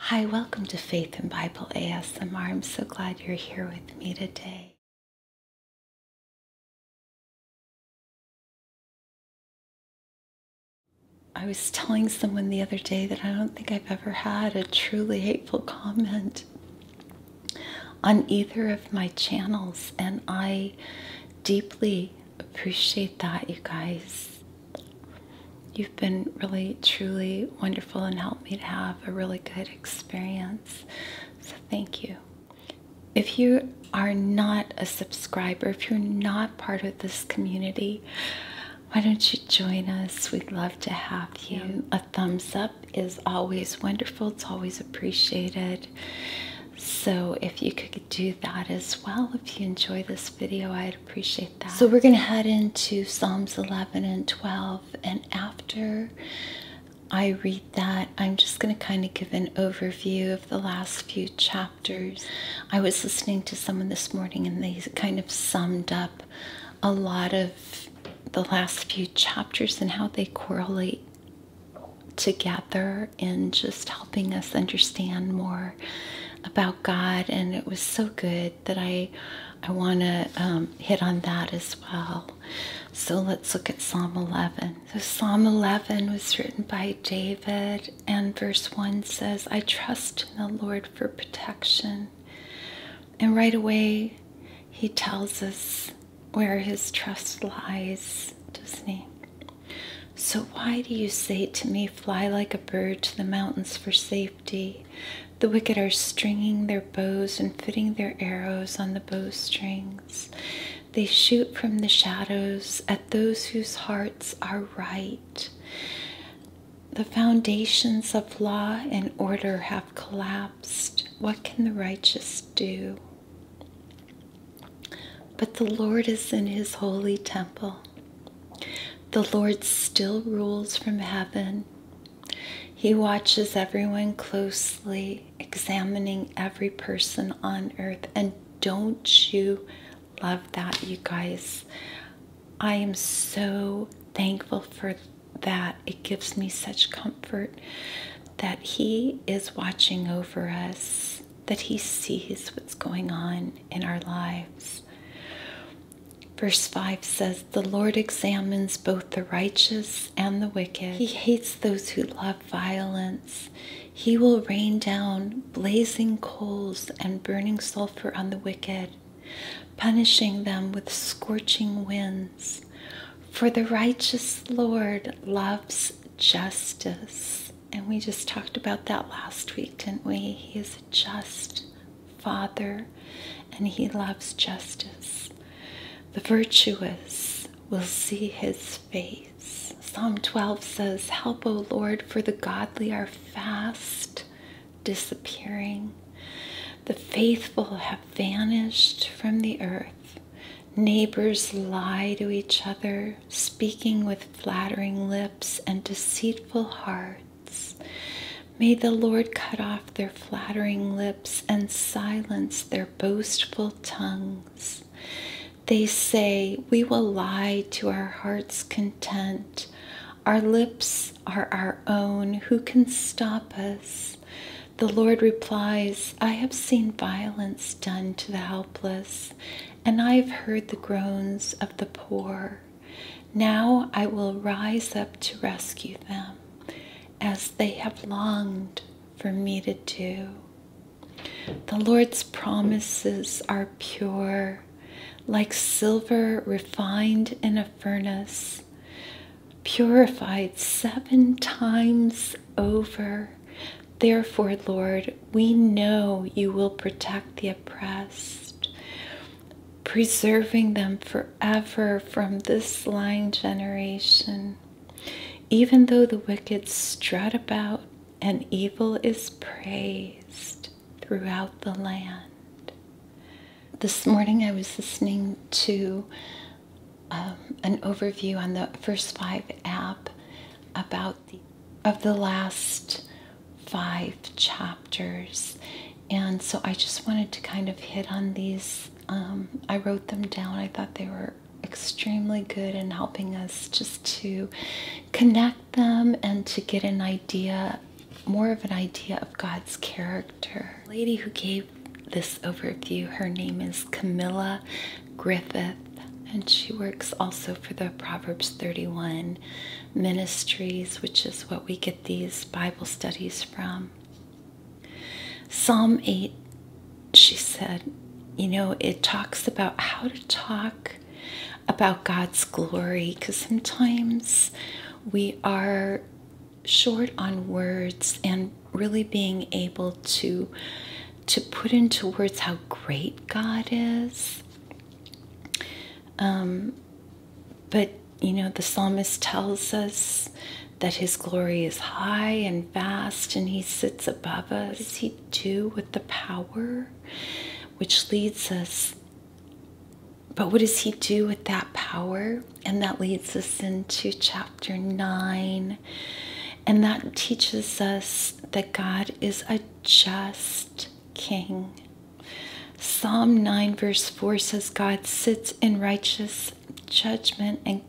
Hi, welcome to Faith in Bible ASMR. I'm so glad you're here with me today. I was telling someone the other day that I don't think I've ever had a truly hateful comment on either of my channels, and I deeply appreciate that, you guys. You've been really, truly wonderful and helped me to have a really good experience. So, thank you. If you are not a subscriber, if you're not part of this community, why don't you join us? We'd love to have you. A thumbs up is always wonderful, it's always appreciated. So, if you could do that as well, if you enjoy this video, I'd Appreciate that. So we're going to head into Psalms 11 and 12. And after I read that, I'm just going to kind of give an overview of the last few chapters. I was listening to someone this morning and they kind of summed up a lot of the last few chapters and how they correlate together and just helping us understand more about God, and it was so good that I I want to um, hit on that as well. So let's look at Psalm 11. So Psalm 11 was written by David, and verse one says, "I trust in the Lord for protection," and right away he tells us where his trust lies, doesn't he? So, why do you say to me, Fly like a bird to the mountains for safety? The wicked are stringing their bows and fitting their arrows on the bowstrings. They shoot from the shadows at those whose hearts are right. The foundations of law and order have collapsed. What can the righteous do? But the Lord is in his holy temple. The Lord still rules from heaven. He watches everyone closely, examining every person on earth. And don't you love that, you guys? I am so thankful for that. It gives me such comfort that He is watching over us that He sees what's going on in our lives. Verse 5 says, The Lord examines both the righteous and the wicked. He hates those who love violence. He will rain down blazing coals and burning sulfur on the wicked, punishing them with scorching winds. For the righteous Lord loves justice and we just talked about that last week, didn't we? He is a just Father and He loves justice. The virtuous will see His face. Psalm 12 says, Help, O Lord, for the godly are fast disappearing. The faithful have vanished from the earth. Neighbors lie to each other, speaking with flattering lips and deceitful hearts. May the Lord cut off their flattering lips and silence their boastful tongues. They say, We will lie to our heart's content. Our lips are our own. Who can stop us? The Lord replies, I have seen violence done to the helpless, and I have heard the groans of the poor. Now I will rise up to rescue them, as they have longed for me to do. The Lord's promises are pure, like silver refined in a furnace, purified seven times over. Therefore, Lord, we know you will protect the oppressed, preserving them forever from this lying generation. Even though the wicked strut about and evil is praised throughout the land. This morning I was listening to um, an overview on the First Five app about of the last five chapters, and so I just wanted to kind of hit on these. Um, I wrote them down. I thought they were extremely good in helping us just to connect them and to get an idea, more of an idea of God's character. lady who gave this overview. Her name is Camilla Griffith, and she works also for the Proverbs 31 Ministries, which is what we get these Bible studies from. Psalm 8, she said, you know, it talks about how to talk about God's glory because sometimes we are short on words and really being able to to put into words how great God is. Um, but you know, the psalmist tells us that his glory is high and vast, and he sits above us. he do with the power which leads us? But what does he do with that power and that leads us into chapter 9. And that teaches us that God is a just king. Psalm 9, verse 4 says, God sits in righteous judgment and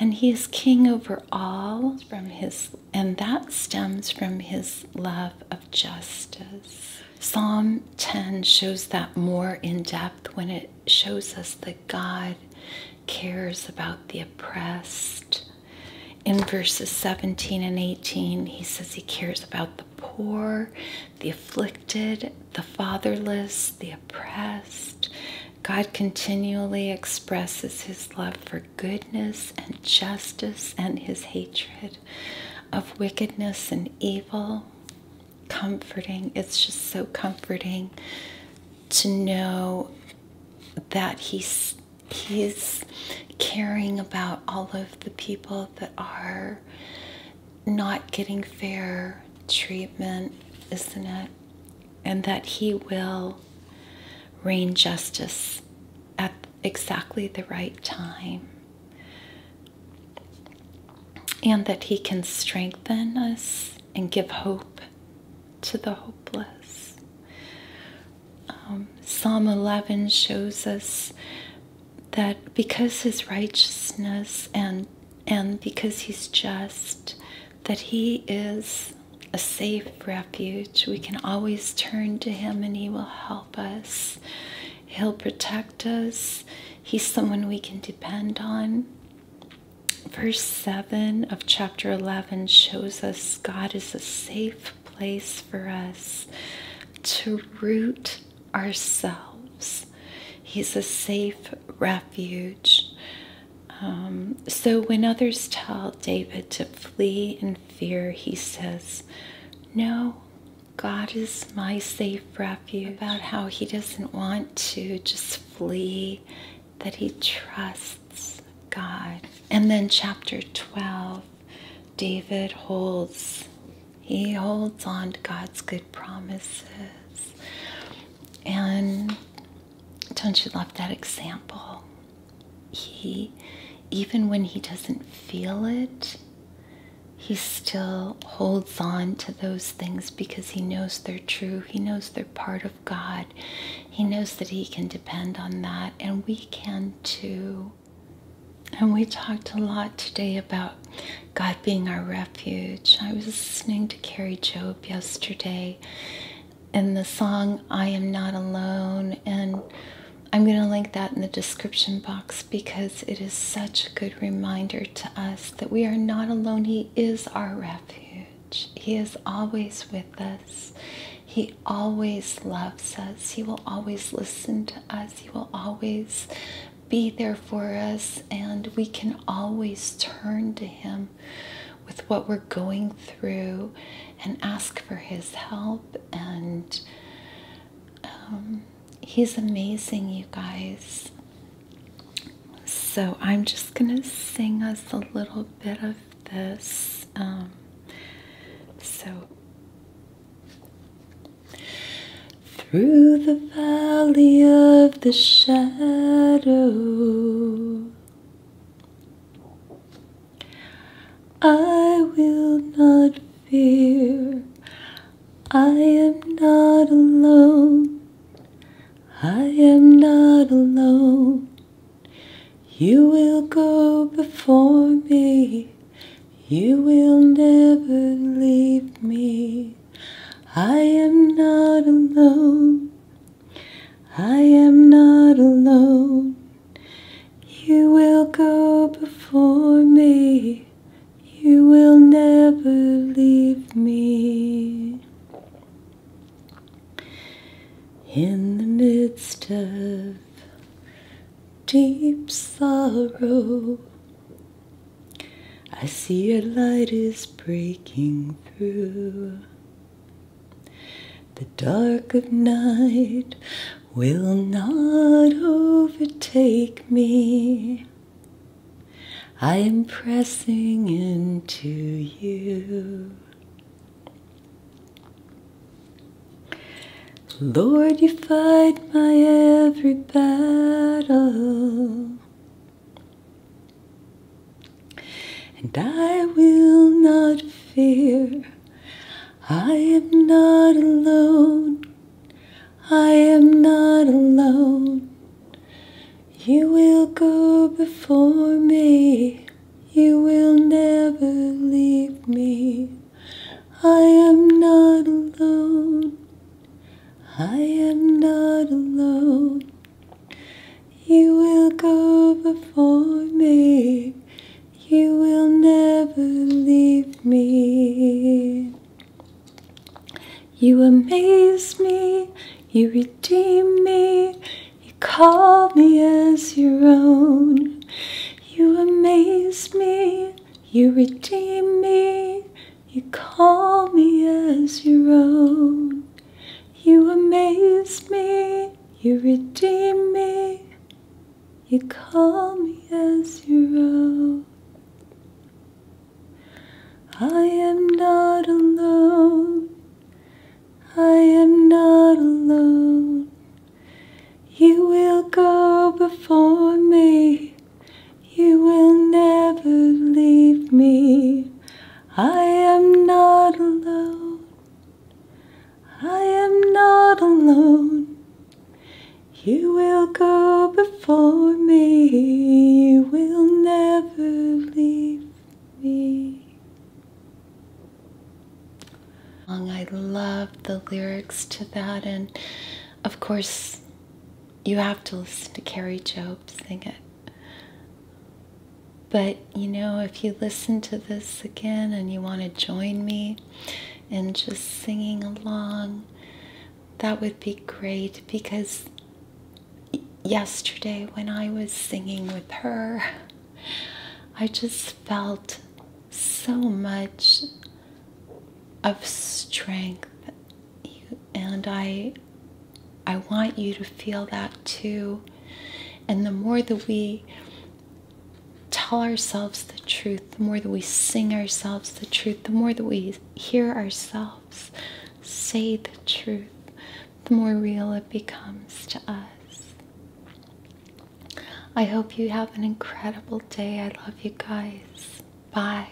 and he is king over all from his and that stems from his love of justice psalm 10 shows that more in depth when it shows us that God cares about the oppressed. In verses 17 and 18, he says he cares about the poor, the afflicted, the fatherless, the oppressed. God continually expresses his love for goodness and justice and his hatred of wickedness and evil comforting. It's just so comforting to know that he's he's caring about all of the people that are not getting fair treatment, isn't it? And that he will reign justice at exactly the right time and that He can strengthen us and give hope to the hopeless. Um, Psalm 11 shows us that because His righteousness and and because he's just, that he is a safe refuge. We can always turn to him and he will help us. He'll protect us. He's someone we can depend on. Verse 7 of chapter 11 shows us God is a safe place for us to root ourselves. He's a safe refuge. Um, so when others tell David to flee in fear, he says, No, God is my safe refuge, about how He doesn't want to just flee, that He trusts God. And then, chapter 12, David holds, he holds on to God's good promises. And don't you love that example? He, even when he doesn't feel it, he still holds on to those things because he knows they're true. He knows they're part of God. He knows that he can depend on that, and we can too. And we talked a lot today about God being our refuge. I was listening to Carrie Job yesterday in the song I Am Not Alone and I'm going to link that in the description box because it is such a good reminder to us that we are not alone. He is our refuge, He is always with us. He always loves us. He will always listen to us. He will always be there for us. And we can always turn to Him with what we're going through and ask for his help. And um, he's amazing, you guys. So I'm just going to sing us a little bit of this. Um, so through the valley of the shadow I will not fear. I am not alone. I am not alone. You will go before me. You will never leave me. I am not alone. I am not alone. You will go before me, you will never leave me. In the midst of deep sorrow, I see your light is breaking through. The dark of night will not overtake me. I am pressing into you. Lord, you fight my every battle. And I will not fear. I am not alone. I am not alone. You will go before me. You will never leave me. I am not alone. I am not alone. You will go before me, you will never leave me. You amaze me, you redeem me, you call me as your own. You amaze me, you redeem me, you call me as your own. You amaze me, you redeem me, you call me as your own. I am not alone, I am not alone. You will go before me, you will never leave me. I am not alone. I am not alone. You will go before me. You will never leave me. I love the lyrics to that, and of course, you have to listen to Carrie Job sing it. But you know, if you listen to this again and you want to join me in just singing along, that would be great because yesterday when I was singing with her, I just felt so much of strength and I I want you to feel that too. And the more that we tell ourselves the truth, the more that we sing ourselves the truth, the more that we hear ourselves say the truth, the more real it becomes to us. I hope you have an incredible day. I love you guys. Bye.